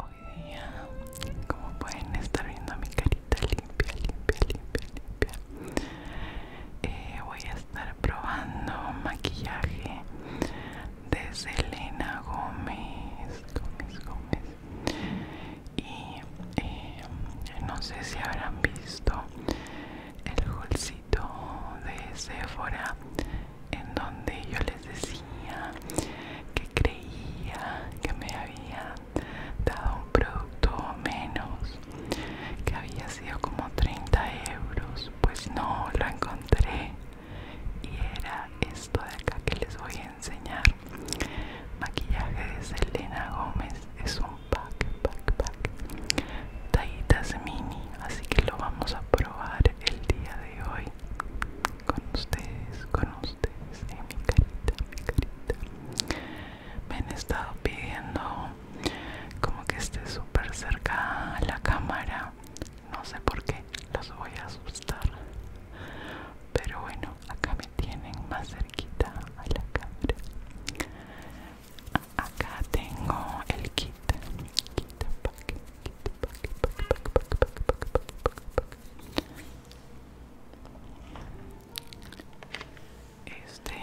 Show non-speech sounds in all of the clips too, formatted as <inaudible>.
Hoy día, como pueden estar viendo mi carita limpia, limpia, limpia, limpia, eh, voy a estar probando maquillaje de Selena Gómez, Gómez, Gómez. Y eh, no sé si habrán visto el bolsito de Sephora en donde yo les decía que creía que me había dado un producto menos que había sido como 30 euros pues no lo encontré y era esto de acá que les voy a enseñar maquillaje de Selena Gómez es un pack pack pack tallitas mini así que lo vamos a probar el día de hoy con ustedes con ustedes mi carita mi carita me han estado pidiendo como que esté súper cerca a la cámara no sé por qué los voy a asustar pero bueno acá me tienen más cerquita a la cámara acá tengo el kit kit este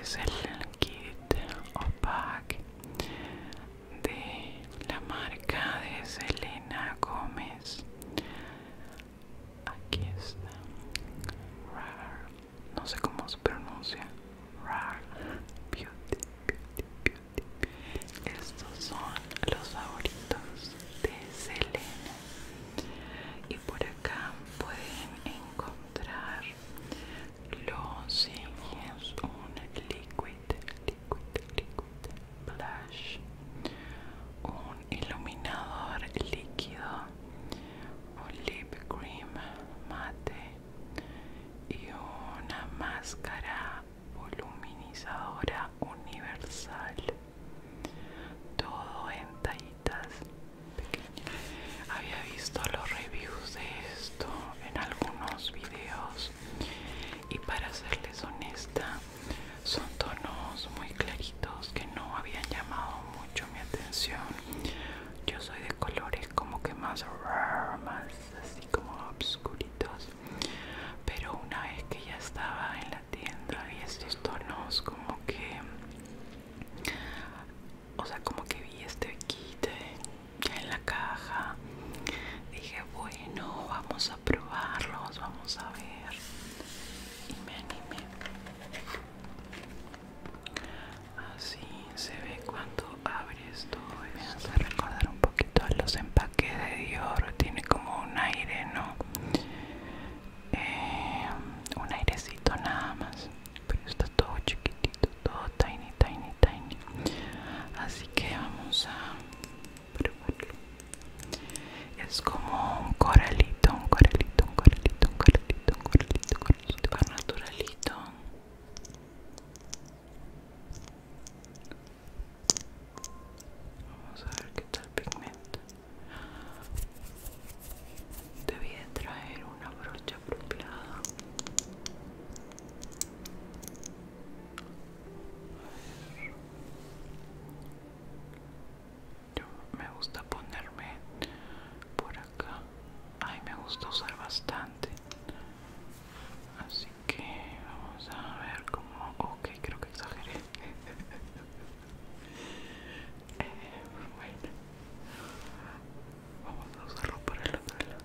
es el kit opaque de la marca de Selena Gómez aquí está Rar no sé cómo se pronuncia Rar Beauty Beauty Beauty estos son los favoritos de Selena y por acá pueden encontrar los siguientes un liquid un iluminador líquido un lip cream mate y una máscara voluminizadora universal todo en tallitas pequeñas había visto los reviews de esto en algunos videos y para serles honesta son tonos muy claritos que no habían llamado mucho mi atención yo soy de colores como que más más así como obscuritos pero una vez que ya estaba en la tienda y estos tonos como que o sea como que vi este kit en la caja dije bueno, vamos a probarlos, vamos a ver. Y me animé. Así se ve cuando abres todo. Me hace recordar un poquito a los empaques de Dior. Tiene como un aire, ¿no? Eh, un airecito nada más. Pero está todo chiquitito, todo tiny, tiny, tiny. Así que vamos a es como un coralito, un coralito, un coralito, un coralito, un coralito, un coralito, un naturalito. Vamos a ver qué tal pigmento. Debí de traer una brocha propilada. Yo me gusta ponerme por acá. Ay, me gusta usar bastante. Así que vamos a ver cómo... Ok, creo que exageré. <laughs> Eh, bueno. Vamos a usarlo para el otro lado.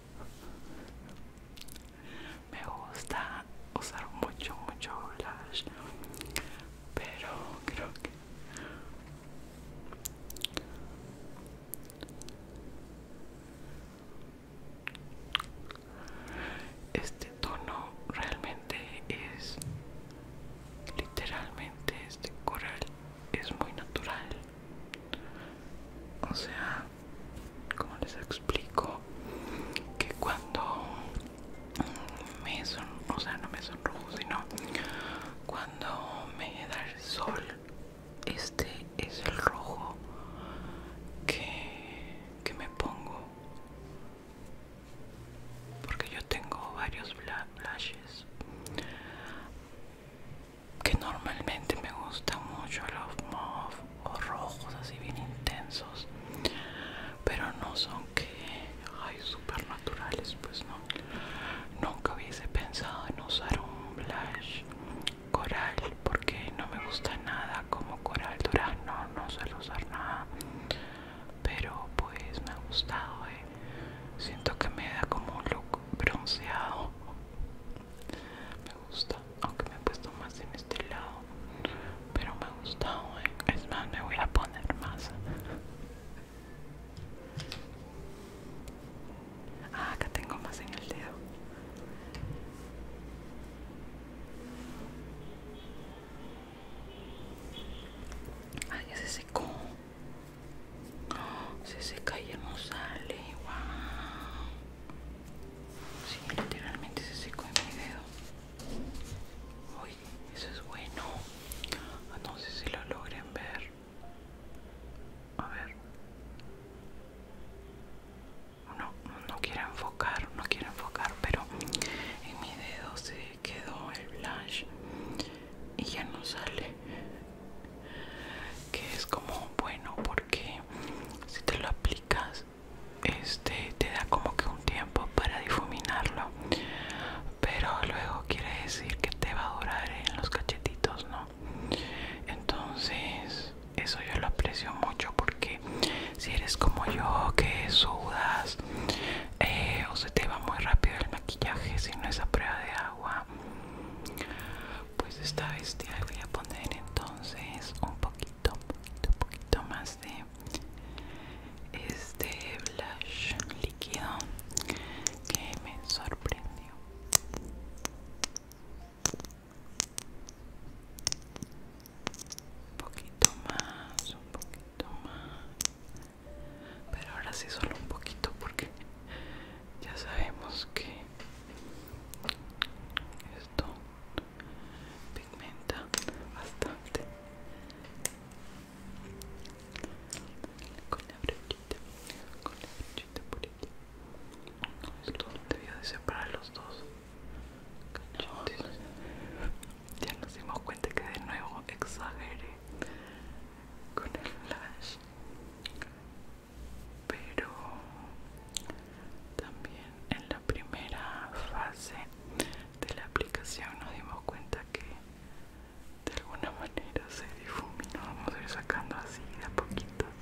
Me gusta usar mucho, mucho blush, pero creo que este tono realmente es literalmente este coral es muy natural o sea, como les explico, que cuando me son, o sea, no me son rojos, sino cuando me da el sol, este es el rojo que, que me pongo. Porque yo tengo varios blushes que normalmente me gustan mucho los mauves o rojos así bien intensos pero no son que hay super naturales pues no nunca hubiese pensado en usar un blush coral porque no me gusta nada como coral durazno no suelo usar nada pero pues me ha gustado eh. siento que me da como un look bronceado me gusta aunque me he puesto más en este lado pero me gusta hoy ¿eh? es más me voy a poner más ah acá tengo más en el dedo Ay, ese se secó se seca y ya no sale. Wow. Sí, literalmente se secó en mi dedo. Uy, eso es bueno. Ah, no sé si lo logren ver. A ver. No, no quiero enfocar, no quiero enfocar, pero en mi dedo se quedó el blush y ya no sale que es como bueno porque si te lo aplicas este te da como que un tiempo para difuminarlo pero luego quiere decir que te va a durar en los cachetitos no entonces eso yo lo aprecio mucho porque si eres como yo que sudas eh, o se te va muy rápido el maquillaje si no es a prueba de agua pues esta vez te voy a poner entonces un poquito un poquito más de este blush líquido que me sorprendió un poquito más un poquito más pero ahora sí solo un poquito porque ya sabemos que esto pigmenta bastante con la brochita con la brochita purita esto debía de separar los dos cachetes ya nos dimos cuenta que de nuevo exagere con el flash pero también en la primera fase de la aplicación nos dimos cuenta que de alguna manera se difuminó vamos a ir sacando así de a poquitos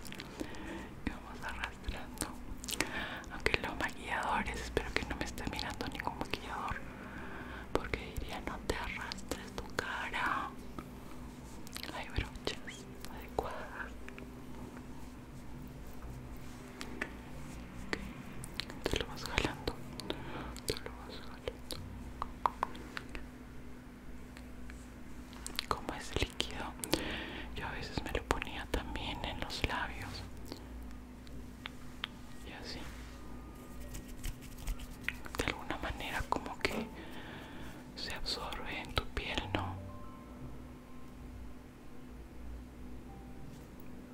y vamos arrastrando aunque los maquilladores espero que no me esté mirando ningún maquillador porque diría no te arrastres tu cara hay brochas adecuadas te lo vas jalando te lo vas jalando como es líquido yo a veces me lo ponía también en los labios y así de alguna manera como que se absorbe en tu piel no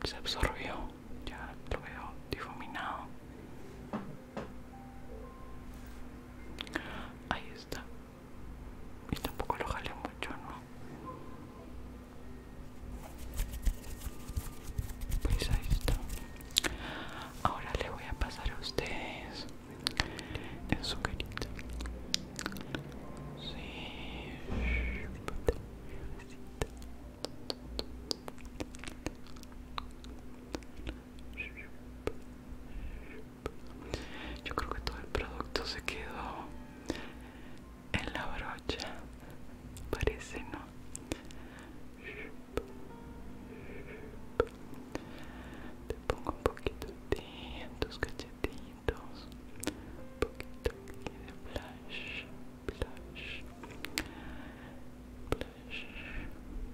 se absorbió, ya lo veo difuminado. Ahí está. Y tampoco lo jale mucho, ¿no? Pues ahí está. Ahora le voy a pasar a ustedes en su carita. Yo creo que todo el producto se quedó en la brocha, parece, ¿no? Te pongo un poquito de tus cachetitos, un poquito de blush, blush, blush,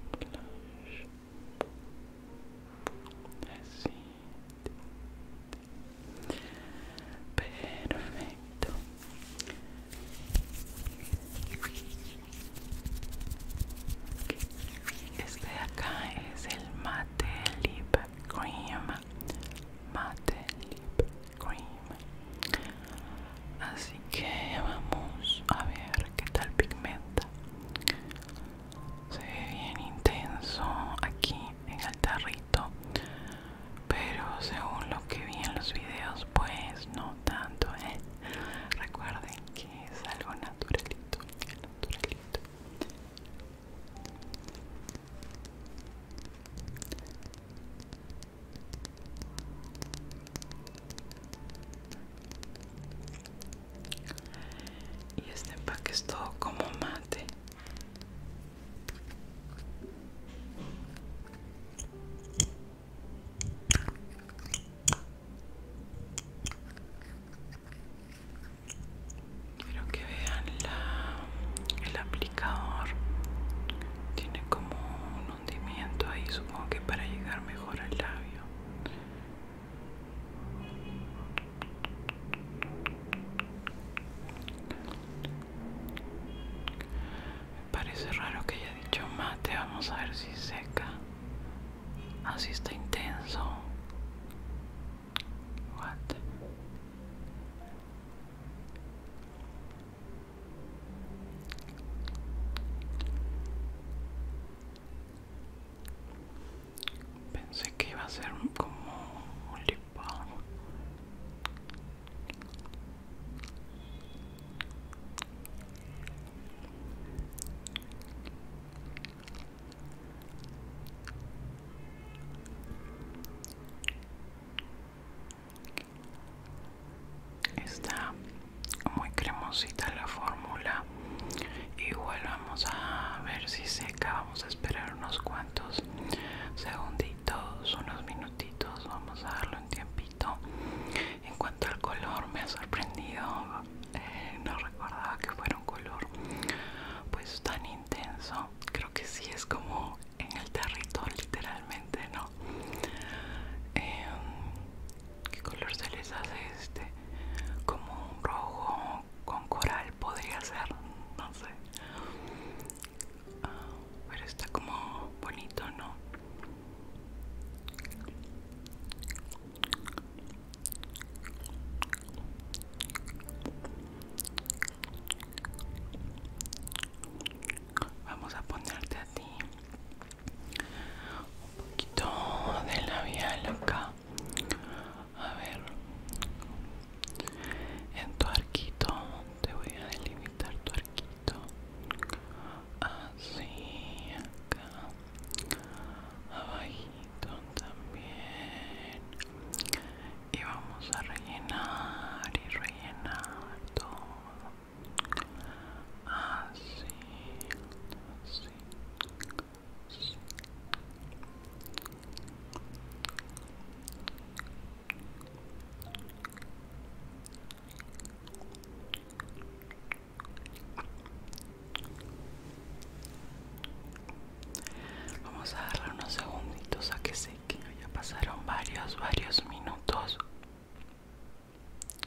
blush. assim perfeito Este de acá es el Matte Lip Cream. Matte Lip Cream. Así que vamos a ver qué tal pigmenta. Se ve bien intenso aquí en el tarrito. Pero según lo que vi en los videos, pues no tanto, ¿eh? Recuerden que es algo naturalito, naturalito. Y este empaque es todo como mate. Quiero que vean la, el aplicador. Tiene como un hundimiento ahí, supongo que para llegar mejor al labio. Me parece raro que haya dicho mate, vamos a ver si seca. Así está intenso. Pensé que iba a ser como un lip Está muy cremosita la fórmula. Igual vamos a ver si seca. Vamos a esperar unos cuantos segunditos, unos minutitos. Vamos a darlo un tiempito. En cuanto al color, me ha sorprendido. Eh, no recordaba que fuera un color pues tan intenso creo que sí es como en el territorio literalmente no em, qué color se les hace este como un rojo con coral podría ser no sé ah, pero está como bonito no Vamos a ponerte a ti un poquito de labial acá. A ver, en tu arquito te voy a delimitar tu arquito. Así acá, abajito también y vamos a rellenar y rellenar todo así Vamos a darle unos segunditos a que seque. Ya pasaron varios, varios minutos.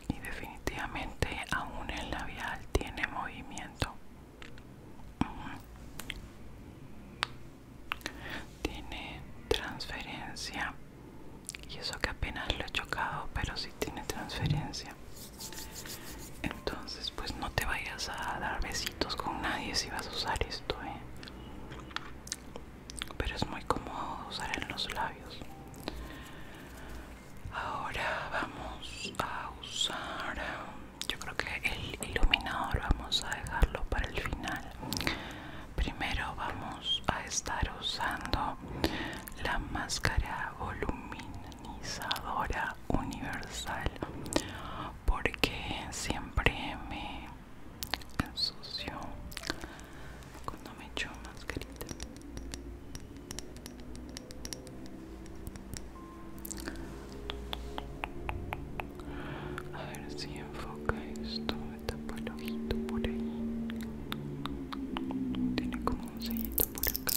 Y definitivamente aún el labial tiene movimiento. Tiene transferencia. Y eso que apenas lo he chocado, pero sí tiene transferencia. Entonces, pues no te vayas a dar besitos con nadie si vas a usar esto, ¿eh? Pero es muy cómodo usar en los labios. Ahora vamos a usar, um, yo creo que el iluminador vamos a dejarlo para el final. Primero vamos a estar usando la máscara volumina universal porque siempre me sucio cuando me echo mascarita a ver si enfoca esto me tapa el ojito por ahí tiene como un sellito por acá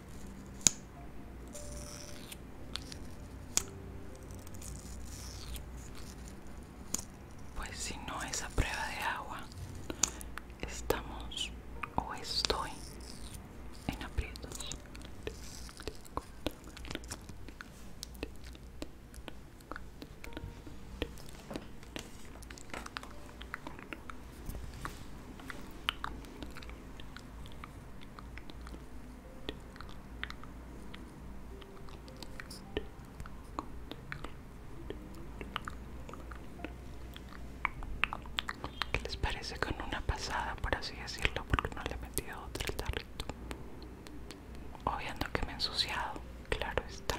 Pues si no es a prueba de agua, estamos o estoy en aprietos. ¿Qué les parece con una pasada, por así decirlo? Porque no le he metido otra el tarrito. Obviando que me he ensuciado, claro está.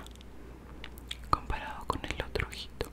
Comparado con el otro ojito.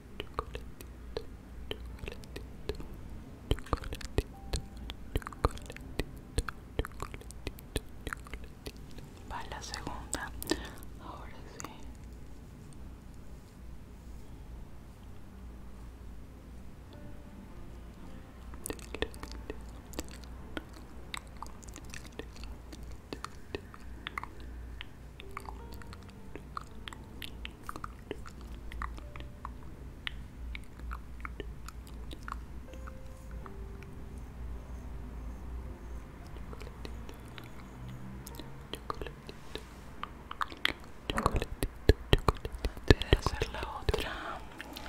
chocolatito, chocolatito, Va la segunda. Ahora sí. Antes de hacer la otra,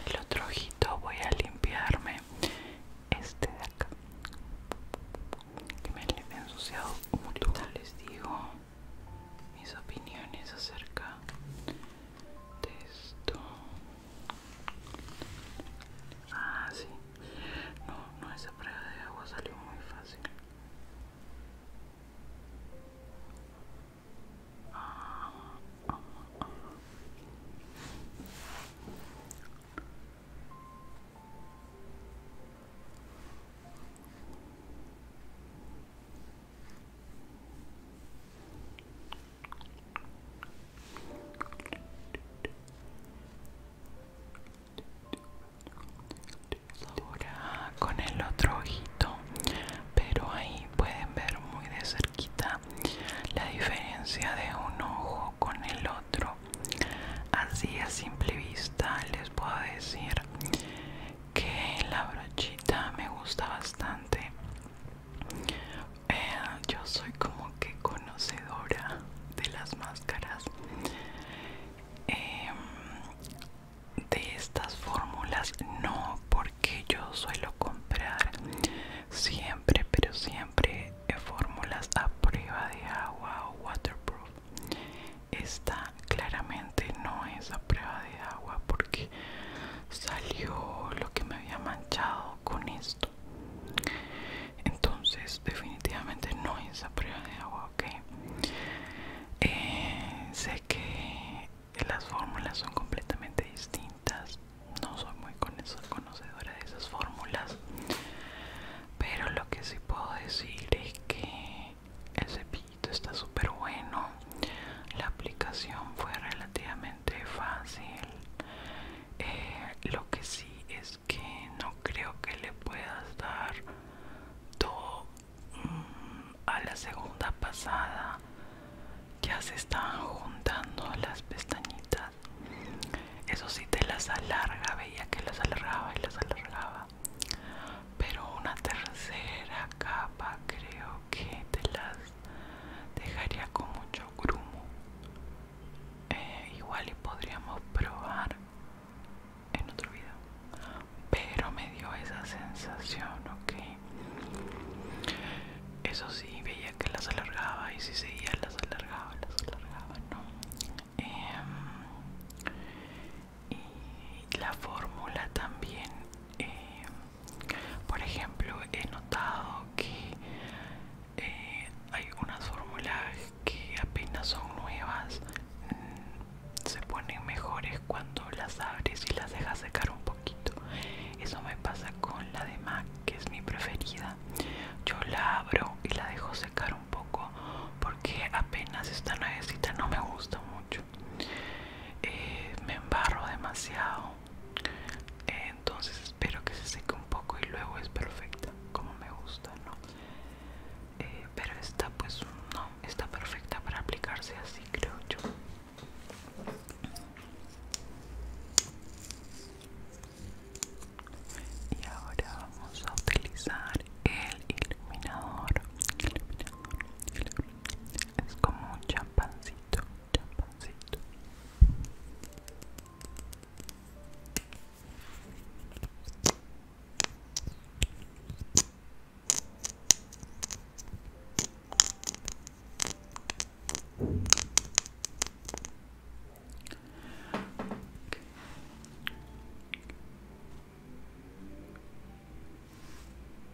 el otro ojito voy a limpiarme este de acá que me he ensuciado mucho, les digo mis opiniones acerca de esto. Ah, sí. No, no, esa prueba de agua salió muy fácil. Ahora con el otro ojito, pero ahí pueden ver muy de cerquita la diferencia de un ojo con el otro. Así a simple vista les puedo decir que la brochita me gusta bastante eh, yo soy como que conocedora de las máscaras em, de estas fórmulas no porque yo suelo comprar siempre pero siempre eh, fórmulas a prueba de agua o waterproof esta claramente no es a prueba de agua porque salió lo que me había manchado con esto entonces definitivamente no es a prueba de agua ok eh, sé que las fórmulas son completamente distintas no soy muy conocedora de esas fórmulas pero lo que sí puedo decir es que el está súper bueno. La aplicación fue relativamente fácil. Eh, lo que sí es que no creo que le puedas dar todo mm, a la segunda pasada. Ya se estaban juntando las pestañitas. Eso sí te las alarga, veía que las alargaba y las alargaba pero una tercera capa creo que te las dejaría con mucho grumo eh, igual y podríamos probar en otro video pero me dio esa sensación ok eso sí veía que las alargaba y si seguía las alargaba las alargaba no em, y la fórmula también eh, por ejemplo he notado que eh, hay unas fórmulas que apenas son nuevas mm, se ponen mejores cuando las abres y las dejas secar un poquito eso me pasa con la de mac que es mi preferida yo la abro y la dejo secar un poco porque apenas está nuevecita no me gusta mucho eh, me embarro demasiado entonces espero que se seque un poco y luego es perfecta como me gusta no eh, pero esta pues no está perfecta para aplicarse así creo yo y ahora vamos a utilizar el iluminador, iluminador, iluminador es como un champancito, champancito.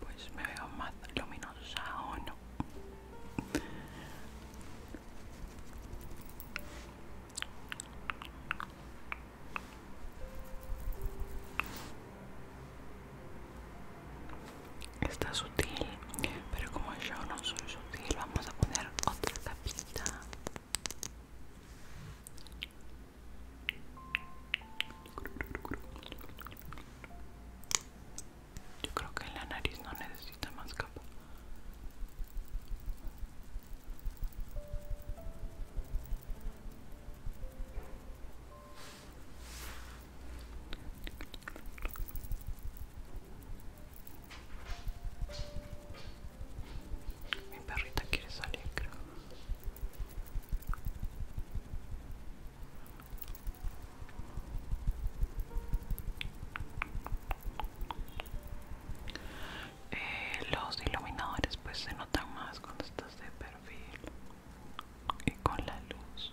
Pues me veo más luminosa o no. Está sutil, pero como yo no soy sutil, vamos a poner otra tapita Yo creo que en la nariz no necesita más capa. Mi perrita quiere salir, eh, los iluminadores pues se notan más cuando estás de perfil y con la luz.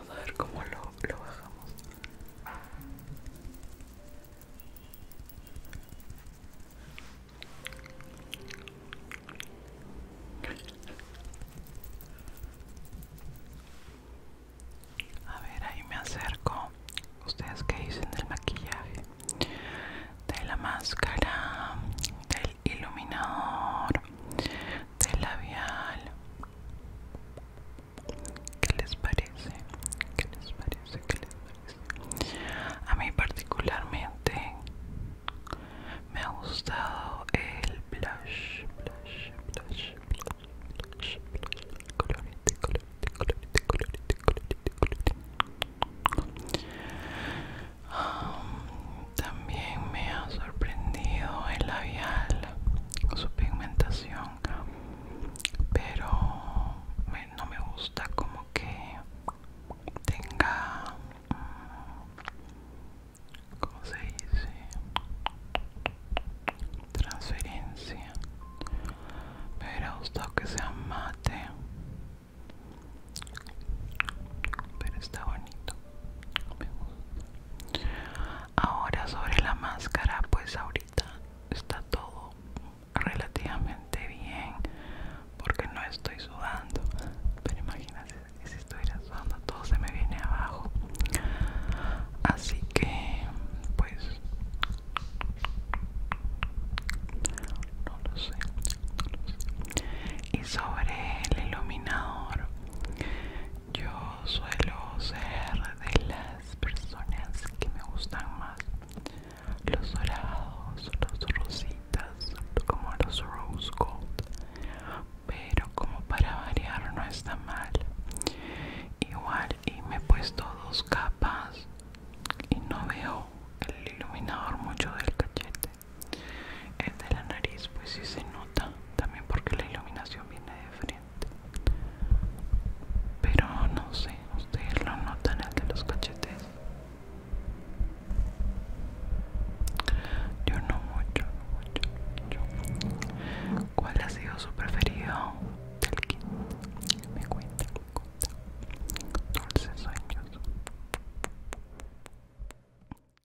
a ver cómo lo, bajamos. A ver, ahí me acerco. ¿Ustedes qué dicen del maquillaje? De la máscara, iluminador de labial ¿Qué les parece? ¿Qué les parece? les parece? A mí particularmente me ha gustado el blush, blush, blush, blush, blush, Um, también me ha sorprendido el labial, su pigmentación, pero no me gusta como que tenga, mm, Como se dice? Transferencia. Me hubiera gustado que sea mate, pero está bonito ahora sobre la máscara pues ahorita está todo relativamente bien porque no estoy sudando pero imagínate si estuviera sudando todo se me viene abajo así que pues no lo sé. y sobre el iluminador yo suelo ser de las personas que me gustan más los dorados, los rositas, como los rose gold, pero como para variar no está mal. Igual y me he puesto dos capas y no veo el iluminador mucho del cachete el de la nariz pues sí se nota, también porque la iluminación viene de frente. Pero no sé, ustedes lo notan el de los cachetes. Yo no mucho, no mucho, ¿Cuál ha sido su preferido del Me cuenta, cuenta. Dulces años?